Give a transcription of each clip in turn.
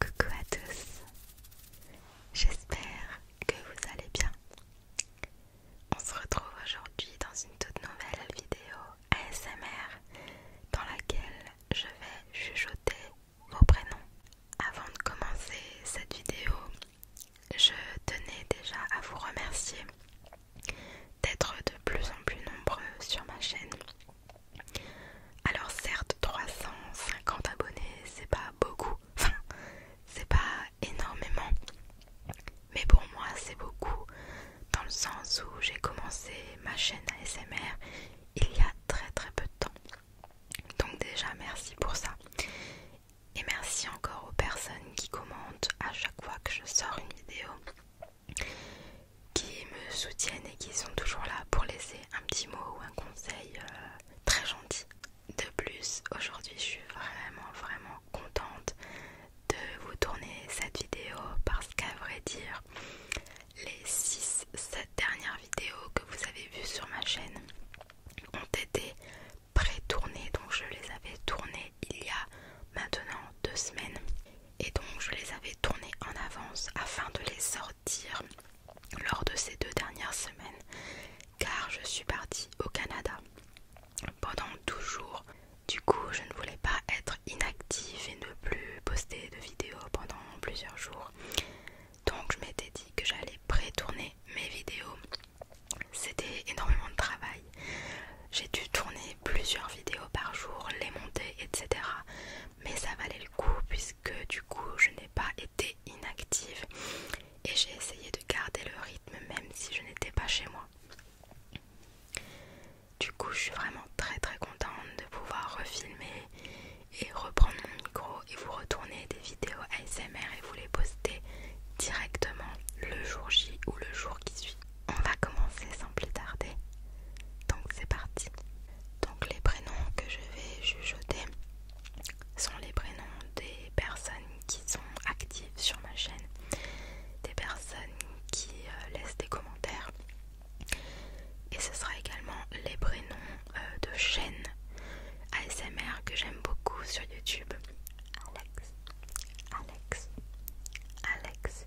Coucou à tous, j'espère que vous allez bien. On se retrouve aujourd'hui dans une toute nouvelle vidéo ASMR dans laquelle je vais chuchoter vos prénoms. Avant de commencer cette vidéo, je tenais déjà à vous remercier d'être de plus en plus nombreux sur ma chaîne. Alors certes 350 abonnés c'est pas beaucoup, enfin c'est pas énormément, mais pour moi c'est beaucoup dans le sens où j'ai commencé ma chaîne ASMR il y a très très peu de temps. Donc déjà merci pour ça. Et merci encore aux personnes qui commentent à chaque fois que je sors une vidéo qui me soutiennent et qui sont toujours là pour laisser un petit mot ou un conseil euh, très gentil. De plus, aujourd'hui je suis vraiment vraiment contente de vous tourner cette vidéo parce qu'à vrai dire, les 6-7 dernières vidéos que vous avez vues sur ma chaîne ont été pré-tournées, donc je les avais tournées il y a maintenant deux semaines et donc je les avais tournées en avance afin de les sortir lors de ces deux dernières semaines car je suis partie au Canada pendant 12 jours. Du coup, je ne voulais pas être inactive et ne plus poster de vidéos pendant plusieurs jours. Donc je m'étais dit que j'allais pré-tourner mes vidéos. C'était énormément de travail. J'ai dû tourner plusieurs vidéos par jour, les monter, etc mais ça valait le coup puisque du coup je n'ai pas été inactive et j'ai essayé de garder le rythme même si je n'étais pas chez moi. Du coup je suis vraiment très très contente de pouvoir refilmer et reprendre mon micro et vous retourner des vidéos ASMR et vous les poster directement le jour J ou le jour qui suit. On va commencer sans plus tarder. Donc c'est parti. Donc les prénoms que je vais jeter sont les prénoms des personnes qui sont actives sur ma chaîne, des personnes qui euh, laissent des commentaires. Et ce sera également les prénoms euh, de chaînes ASMR que j'aime beaucoup sur YouTube. Alex, Alex, Alex,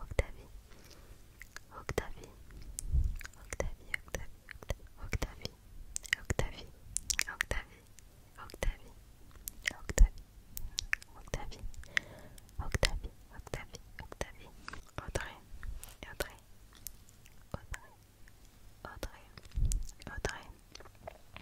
Octavie, Octavie, Octavie, Octavie, Octavie, Octavie, Octavie, Octavie, Octavie, Octavie, Octavie, Octavie, Octavie, Audrey, Audrey, Audrey, Audrey, Audrey,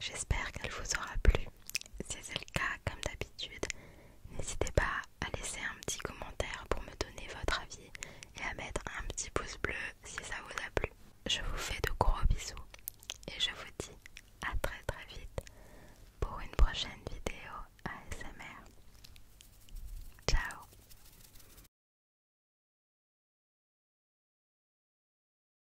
J'espère qu'elle vous aura plu. Si c'est le cas, comme d'habitude, n'hésitez pas à laisser un petit commentaire pour me donner votre avis et à mettre un petit pouce bleu si ça vous a plu. Je vous fais de gros bisous et je vous dis à très très vite pour une prochaine vidéo ASMR. Ciao